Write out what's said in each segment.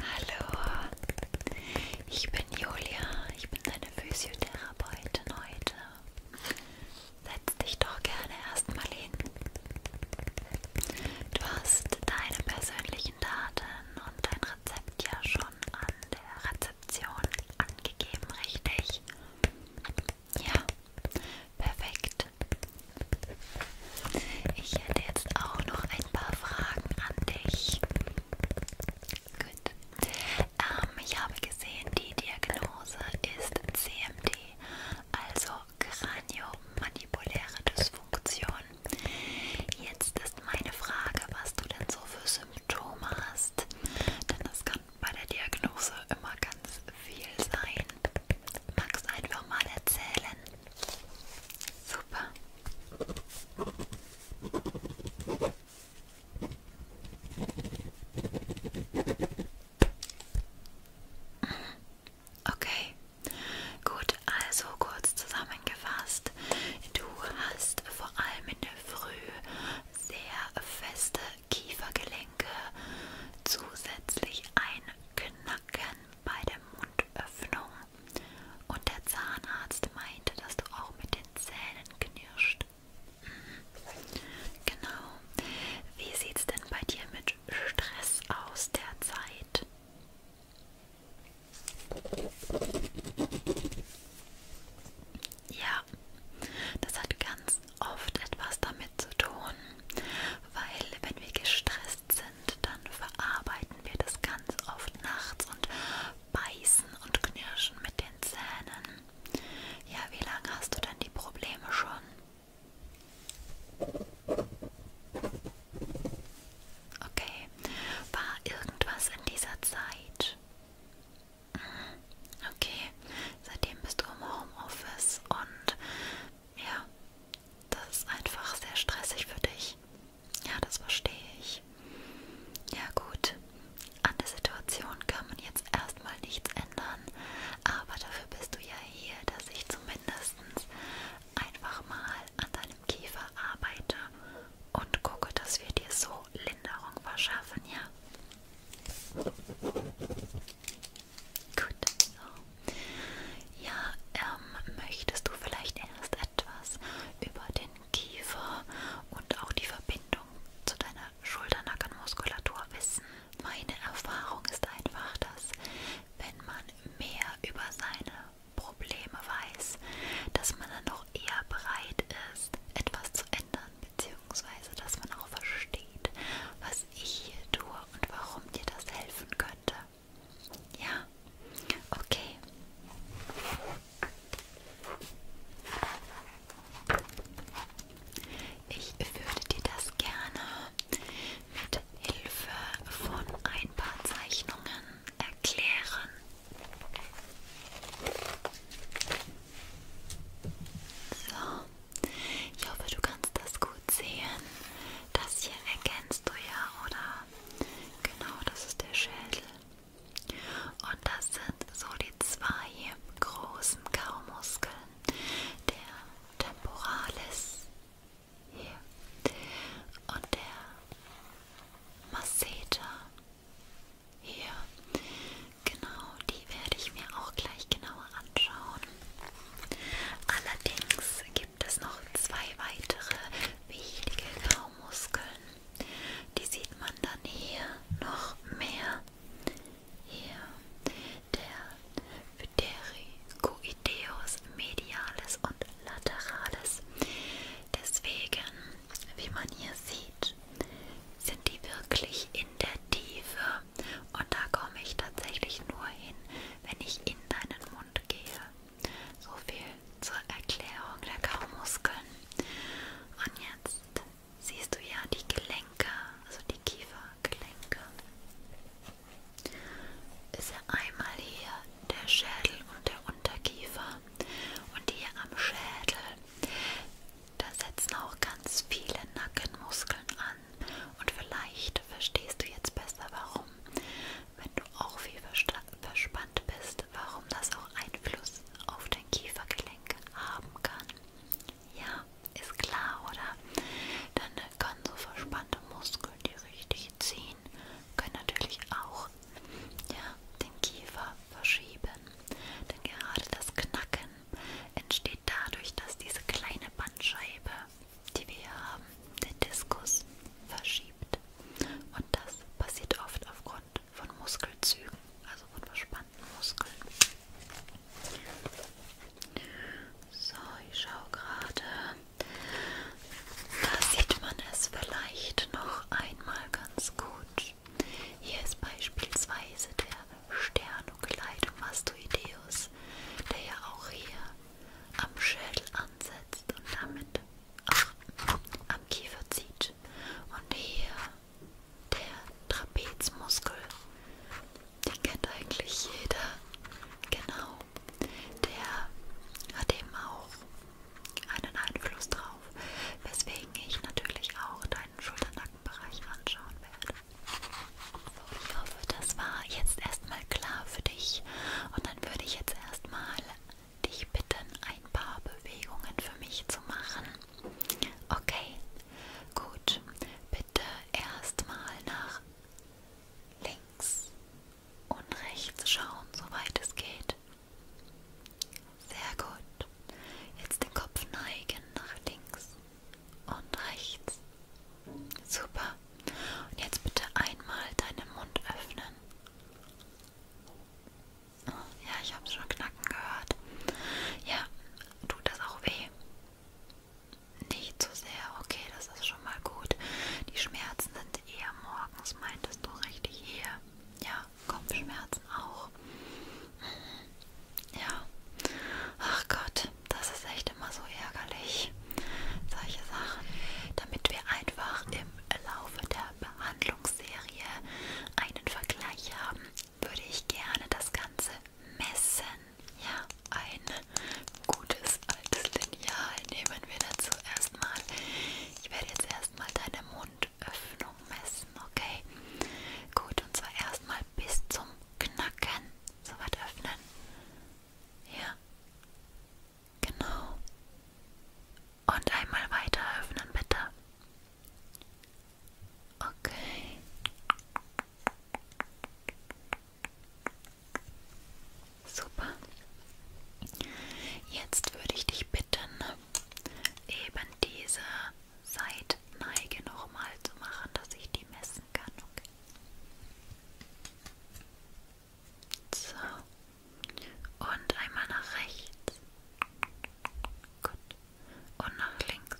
Hallo, ich bin Julia, ich bin deine Physiotherapeutin heute. Setz dich doch gerne erstmal hin. Du hast deine persönlichen Daten und dein Rezept ja schon an der Rezeption angegeben, richtig? Ja, perfekt. Ich hätte jetzt auch noch ein paar Fragen an dich. Gut. Ähm, ich habe gesehen, die Diagnose ist CMD, also Kraniomandibuläre Dysfunktion. Jetzt ist meine Frage, was du denn so für Symptome hast, denn das kann bei der Diagnose immer ganz viel sein. Magst du einfach mal erzählen? Super. Okay, gut, also kurz zusammengefasst, du hast vor allem in der Früh sehr feste Kiefergelenke, zusätzlich ein Knacken bei der Mundöffnung und der Zahnarzt meinte, dass du auch mit den Zähnen knirscht. Mhm. Genau. Wie sieht's denn bei dir mit Stress aus derzeit? Ja, das hat ganz oft etwas damit zu tun, weil wenn wir gestresst sind, sind, dann verarbeiten wir das ganz oft nachts und beißen und knirschen mit den Zähnen. Ja, wie lange hast du denn die Probleme schon? Okay, war irgendwas in dieser Zeit? Mhm, okay, seitdem bist du im Homeoffice und ja, das ist einfach sehr stressig für dich. Ja, das verstehe ich. Ja gut, an der Situation kann man jetzt erstmal nichts ändern, aber dafür bist du ja hier, dass ich zumindest einfach mal an deinem Kiefer arbeite und gucke, dass wir dir so Linderung verschaffen, ja? Gut, so. Ja, ähm, möchtest du vielleicht erst etwas über den Kiefer und auch die Verbindung zu deiner Schulternackenmuskulatur wissen. Meine Erfahrung ist einfach, dass wenn man mehr über seine Probleme weiß, dass man dann noch eher bereit ist, etwas zu ändern, beziehungsweise dass man auch versteht, was ich hier tue und warum dir das helfen könnte. Ja, okay. Ich würde dir das gerne mit Hilfe von ein paar Zeichnungen erklären. So, ich hoffe, du kannst das gut sehen. Das hier erkennst du ja, oder? Genau, das ist der Schädel. Und das sind so die zwei großen Kaumuskeln. Der Temporalis hier und der Masseter hier. Genau, die werde ich mir auch gleich genauer anschauen. Allerdings gibt gibt es noch zwei weitere wichtige Kaumuskeln. Die sieht man dann hier noch mehr. Hier der Ptericoideus medialis und lateralis. Deswegen, wie man hier sieht, sind die wirklich in der Tiefe und da komme ich tatsächlich nur hin, wenn ich in deinen Mund gehe. So viel zur Erklärung der Kaumuskeln. Und jetzt siehst du ja die Gelenke, also die Kiefergelenke. Ist ja einmal hier der Schädel und der Unterkiefer. Und hier am Schädel, da setzen auch ganz viele Nackenmuskeln an. Und vielleicht verstehst du jetzt besser warum. Wenn du auch viel verspannt bist, warum das auch Einfluss auf dein Kiefergelenk haben kann. Ja, ist klar, oder? Dann können so verspannte Muskeln, die richtig ziehen, können natürlich auch ja, den Kiefer verschieben. Denn gerade das Knacken entsteht dadurch, dass diese kleine Bandscheibe die wir hier haben, den Diskus verschiebt. Und das passiert oft aufgrund von Muskelzügen, also von verspannten Muskeln. So, ich schaue gerade. Da sieht man es vielleicht noch einmal ganz gut. Hier ist beispielsweise der Sternocleidomastoideus, der ja auch hier am Schädel ansetzt und damit auch am Kiefer zieht. Und hier der Trapezmuskel, den kennt eigentlich jeder. Genau, der hat eben auch einen Einfluss drauf, weswegen ich natürlich auch deinen Schulternackenbereich anschauen werde. So, ich hoffe, das war jetzt erstmal klar für dich. Und dann würde ich jetzt jetzt erstmal dich bitten, ein paar Bewegungen für mich zu machen. Okay, gut. Bitte erstmal nach links und rechts schauen, soweit es geht. Sehr gut. Jetzt den Kopf neigen nach links und rechts. Super. Und jetzt bitte einmal deinen Mund öffnen. Oh, ja, ich habe es schon knacken gehört. Ja, tut das auch weh? Nicht so sehr. Okay, das ist schon mal gut. Die Schmerzen sind eher morgens, meintest du richtig hier. Ja, Kopfschmerzen auch. Mhm. Ja. Ach Gott, das ist echt immer so ärgerlich solche Sachen, damit wir einfach im Laufe der Behandlungsserie einen Vergleich haben, würde ich gerne das Ganze messen. Ja, ein gutes altes Lineal nehmen wir dazu erstmal. Ich werde jetzt erstmal deine Mundöffnung messen, okay? Gut, und zwar erstmal bis zum Knacken. So weit öffnen. Ja. Genau. Und einmal weiter öffnen, bitte. Okay. Super. Jetzt würde ich dich bitten, eben diese Seitneige nochmal zu machen, dass ich die messen kann. Okay. So. Und einmal nach rechts. Gut. Und nach links.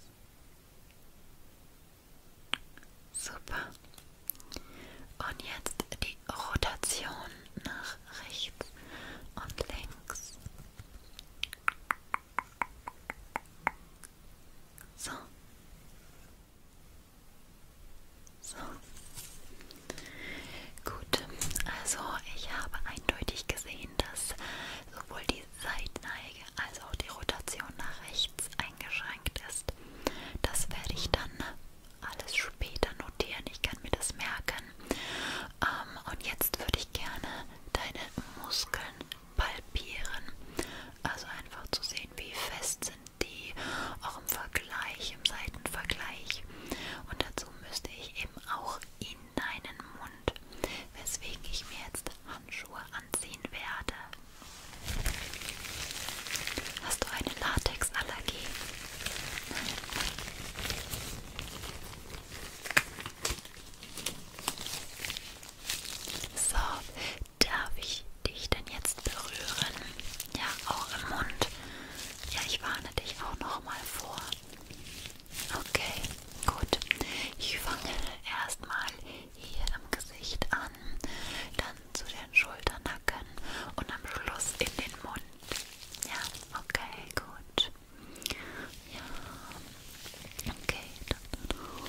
Super. Und jetzt die Rotation nach rechts und links. So. So. Gut, also ich habe eindeutig gesehen, dass sowohl die Seitenneige als auch die Rotation nach rechts eingeschränkt ist. Das werde ich dann alles später notieren. Ich kann mir das merken. Ähm, und jetzt würde ich gerne deine Muskeln palpieren. Also einfach zu sehen, wie fest sind die auch im Vergleich, im Seitenvergleich. Und dazu müsste ich eben auch in deinen Mund, weswegen ich mir jetzt Handschuhe anziehen werde. Hast du eine Latexallergie? So, darf ich die ich denn jetzt berühren. Ja, auch im Mund. Ja, ich warne dich auch nochmal vor. Okay, gut. Ich fange erstmal hier im Gesicht an, dann zu den Schultern, Nacken und am Schluss in den Mund. Ja, okay, gut. Ja, okay. Dann, okay.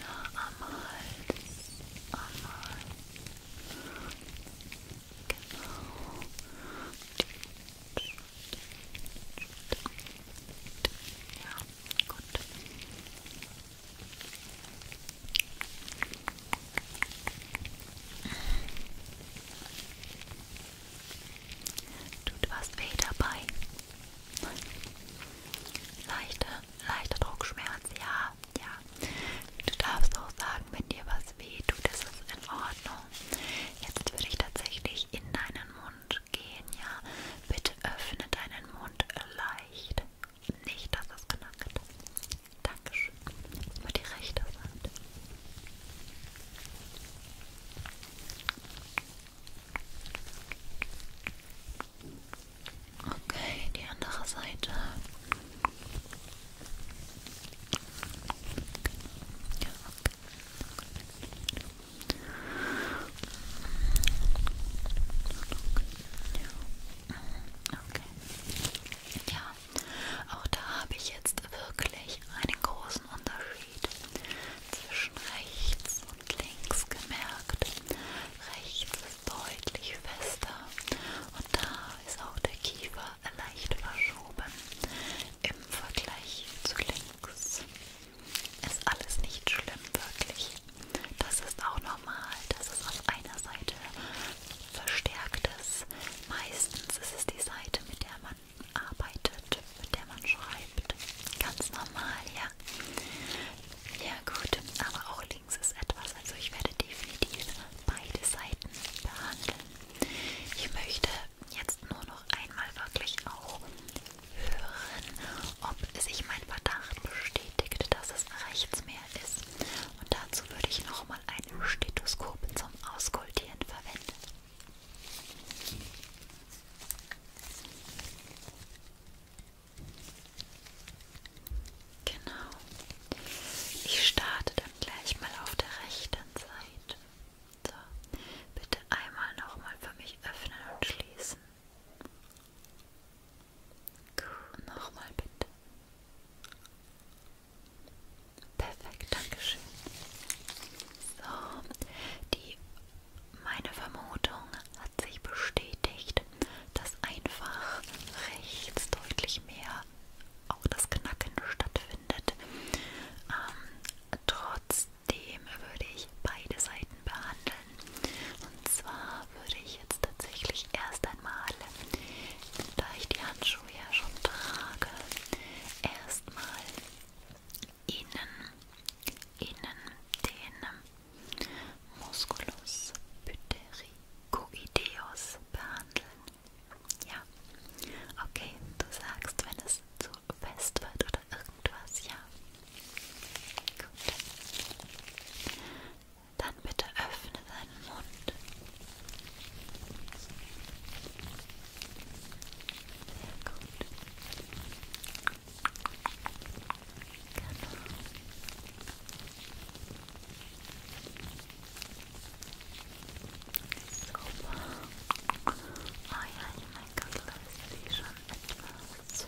ja, am Hals, am Hals. Genau. Ja, gut. Tut was weh dabei. Leichte leichter Druckschmerz, ja, ja. Du darfst auch sagen, wenn dir was weh tut, ist es in Ordnung. Jetzt würde ich tatsächlich in deinen Mund gehen, ja. Bitte öffne deinen Mund leicht. Nicht, dass es knackt. Dankeschön. Über die rechte Seite. Okay, die andere Seite. Ja, okay. Ja. Okay. Ja, auch da habe ich jetzt wirklich einen großen Unterschied zwischen rechts und links gemerkt. Rechts ist deutlich fester und da ist auch der Kiefer leicht verschoben im Vergleich zu links. Ist alles nicht schlimm, wirklich. Das ist auch normal, dass es auf einer Seite verstärkt ist. Meistens ist es die Seite, mit der man arbeitet, mit der man schreibt. Ganz normal, ja. Ja gut, aber auch links ist etwas, also ich werde definitiv beide Seiten behandeln. Ich möchte jetzt nur noch einmal wirklich auch hören, ob sich mein Verdacht bestätigt, dass es rechts mehr ist. Und dazu würde ich nochmal ein Stethoskop zum Auskultieren verwenden. Genau. Ich starte dann gleich mal auf der rechten Seite. So, bitte einmal nochmal für mich öffnen und schließen. Gut, nochmal bitte. Perfekt, Dankeschön. So, die, meine Vermutung hat sich bestätigt, dass einfach rechts deutlich mehr auch das Knacken stattfindet. Ähm, trotzdem würde ich beide Seiten behandeln. Und zwar würde ich jetzt tatsächlich erst einmal, da ich die Handschuhe ja schon trage, erstmal innen, innen den Musculus butericoideus behandeln. Ja, okay, du sagst, wenn es zu fest wird oder irgendwas, ja. Gut. Dann bitte öffne deinen Mund. Sehr gut. Super. Oh ja, die Make-up-Liste ist schon etwas.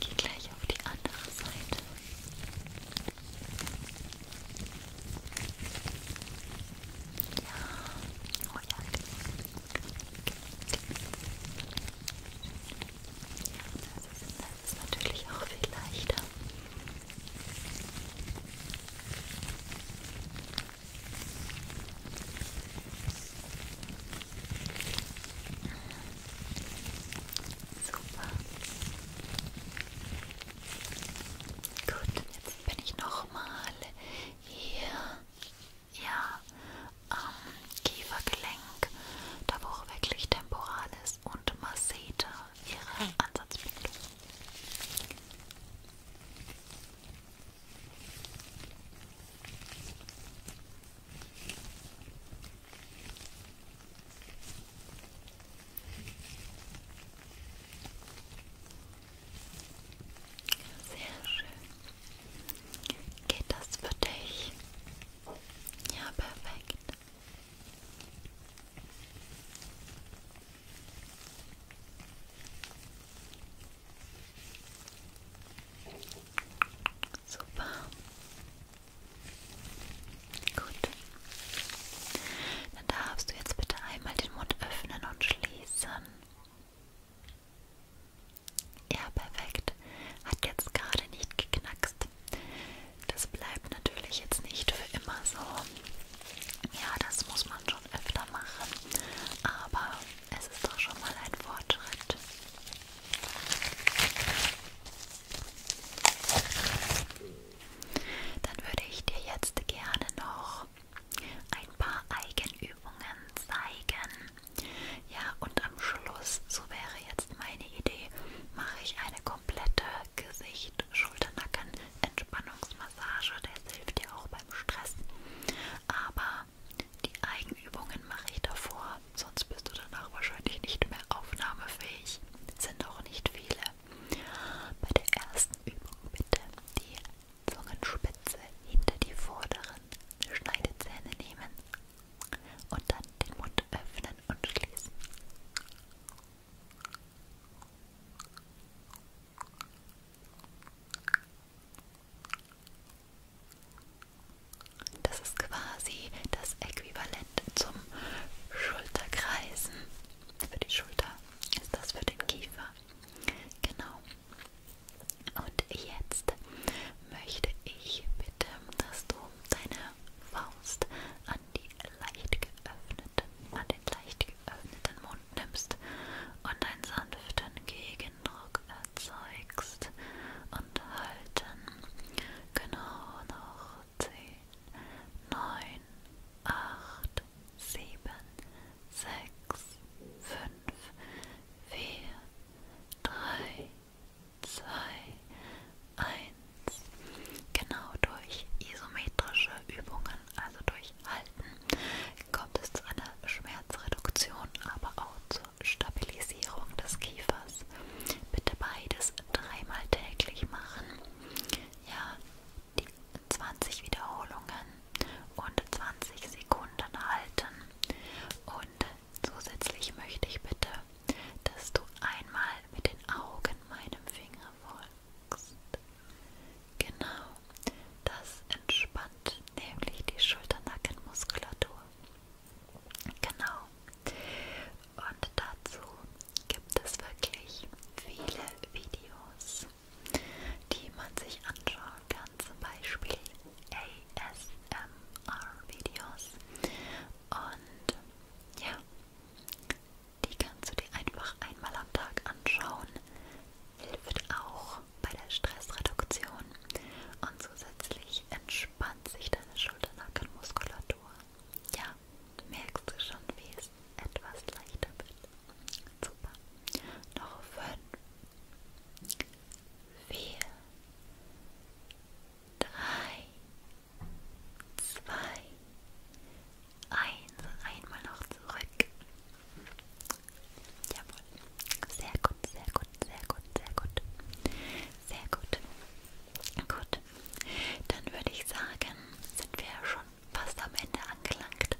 Ich gehe gleich auf die andere Seite. Ja, oh ja. Ja, das ist, das ist natürlich auch viel leichter. Super. Gut, jetzt jetzt bin ich nochmal hier, ja, am Kiefergelenk, da wo auch wirklich Temporalis und Masseter ihre hm. Ansatzbildung. Sehr schön. Geht das für dich? Ja, perfekt. Super. Gut. Dann darfst du jetzt bitte einmal den Mund öffnen und schließen. Ja, perfekt. Hat jetzt gerade nicht geknackst. Das bleibt natürlich jetzt nicht für immer so. Ja, das muss man schon öfter machen. Aber es ist doch schon mal ein Fortschritt. Dann würde ich dir jetzt gerne noch noch ein paar Eigenübungen zeigen. Ja, und am Schluss, so wäre jetzt meine Idee, mache ich eine komplette Gesicht-, Schulternacken-, Entspannungsmassage. Das hilft ja auch beim Stress. Aber die Eigenübungen mache ich davor, sonst bist du danach wahrscheinlich nicht mehr aufnahmefähig. Sind auch nicht viele. Bei der ersten Übung bitte die Zungenspitze hinter die vorderen Schneidezähne nehmen und dann den Mund öffnen und schließen. Das ist quasi das Äquivalent zum Schulterkreisen für die Schulter, ist das für den Kiefer. Genau. Und jetzt möchte ich bitte, dass du deine Faust an die leicht geöffneten, an den leicht geöffneten Mund nimmst und einen sanften Gegendruck erzeugst und halten. Genau noch 10, 9, 8, sieben, sechs, fünf, vier, drei, zwei, eins. Genau durch isometrische Übungen, also durch Halten, kommt es zu einer Schmerzreduktion, aber auch zur Stabilisierung des Kiefers. Bitte beides dreimal täglich machen. Ja, die 20 Wiederholungen und 20 Sekunden halten. Und zusätzlich möchte ich bitte, dass du einmal mit den Augen meinem Finger folgst. Genau, das entspannt nämlich die Schulternackenmuskulatur. Genau. Und dazu gibt es wirklich viele Videos die man sich anschauen kann, zum Beispiel ASMR-Videos. Und ja, die kannst du dir einfach einmal am Tag anschauen. Hilft auch bei der Stressreduktion und zusätzlich entspannt sich deine Schulternackenmuskulatur. Ja, merkst du schon, wie es etwas leichter wird. Super. Noch fünf. Vier. Drei. Zwei. Eins. Einmal noch zurück. Jawohl. Sehr gut, sehr gut, sehr gut, sehr gut. Sehr gut. Gut. Dann würde ich sagen, sind wir schon fast am Ende angelangt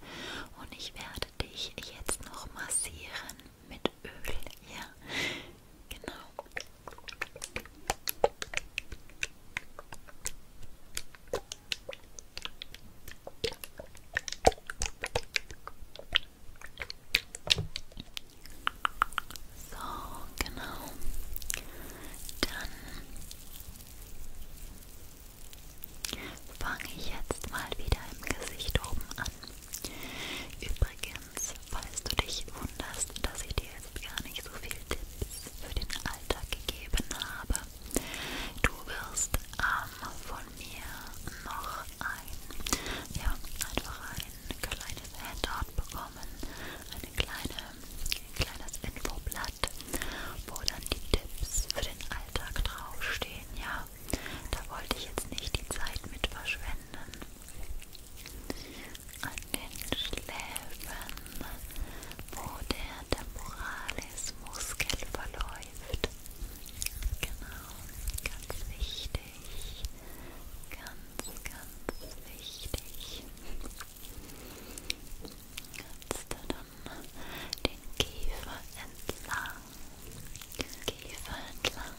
und ich werde dich jetzt noch massieren mit Öl, ja, genau. So, genau. Dann Fange ich jetzt mal wieder im Gesicht oben an. Übrigens, falls du dich wunderst, dass ich dir jetzt gar nicht so viel Tipps für den Alltag gegeben habe, du wirst ähm, von mir noch ein, ja, einfach ein kleines Handout bekommen, eine kleine, ein kleines Infoblatt Blatt, wo dann die Tipps für den Alltag draufstehen. Ja, da wollte ich jetzt nicht die Zeit mit verschwenden. An den Schläfen, wo der Temporalis-Muskel verläuft. Genau, ganz wichtig. Ganz, ganz wichtig. Ganz tada. den Kiefer entlang. Den Kiefer entlang.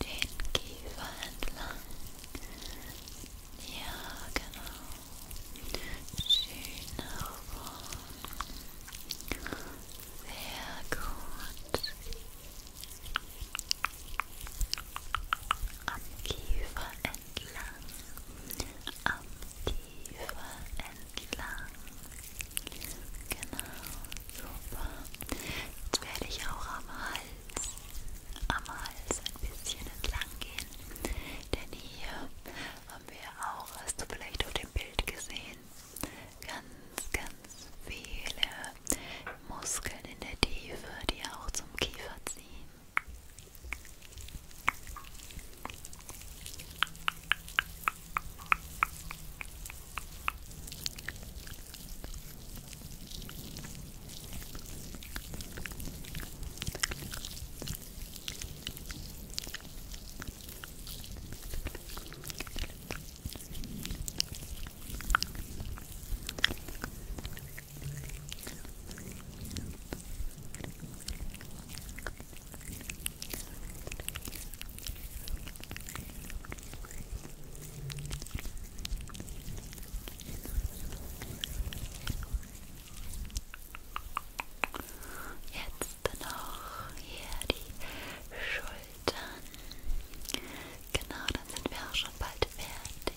Den Kiefer entlang. Ja, genau. Schön herum. Sehr gut. am Kiefer entlang, am Kiefer entlang. Genau, super. Jetzt werde ich auch am Hals, am Hals ein bisschen entlang gehen, denn hier haben wir auch, hast du vielleicht auf dem Bild gesehen, ganz, ganz viele Muskeln in der Tiefe, die auch zum Kiefer ziehen. Jetzt noch hier die Schultern. Genau, dann sind wir auch schon bald fertig.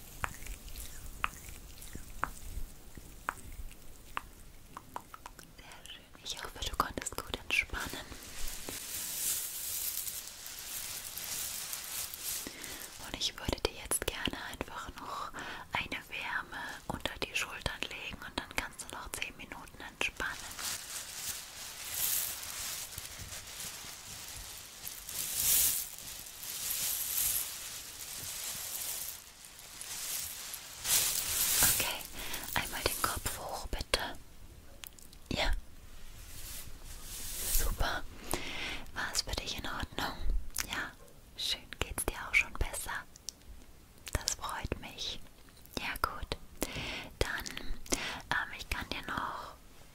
Sehr schön. Ich hoffe, du konntest gut entspannen. Und ich würde dir jetzt gerne einfach noch eine Wärme unter die Schultern legen und dann kannst du noch 10 Minuten entspannen. Okay, einmal den Kopf hoch, bitte. Ja. Super. War es für dich in Ordnung? Ja. Schön, geht's dir auch schon besser? Das freut mich. Ja gut. Dann, ähm, ich kann dir noch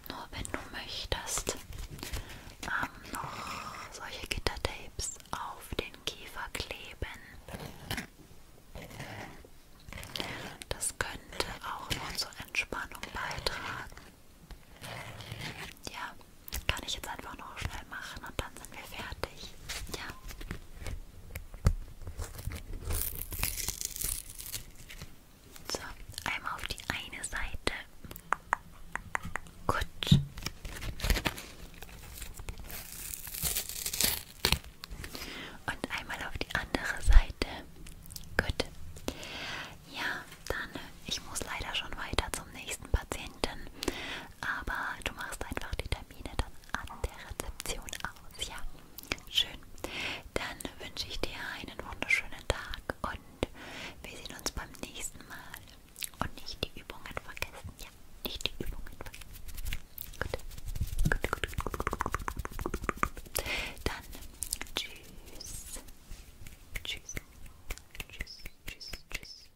nur wenn du möchtest, ähm, noch solche Gittertapes auf den Kiefer kleben. Das könnte auch noch zur Entspannung beitragen. Ja, kann ich jetzt einfach noch schnell machen und dann sind wir fertig. Ja. So, einmal auf die eine Seite. Gut. Und einmal auf die andere Seite. Gut. Ja, dann, ich muss leider schon weiter zum nächsten Patienten. Aber du machst einfach die Termine dann an der Rezeption aus. Ja, schön. Dann wünsche ich dir einen wunderschönen Tag und und wir sehen uns beim nächsten Mal. Und nicht die Übungen vergessen. Ja, nicht die Übungen vergessen. Gut. Gut, gut, gut, gut, gut, gut, gut. Dann tschüss. Tschüss. Tschüss, tschüss, tschüss.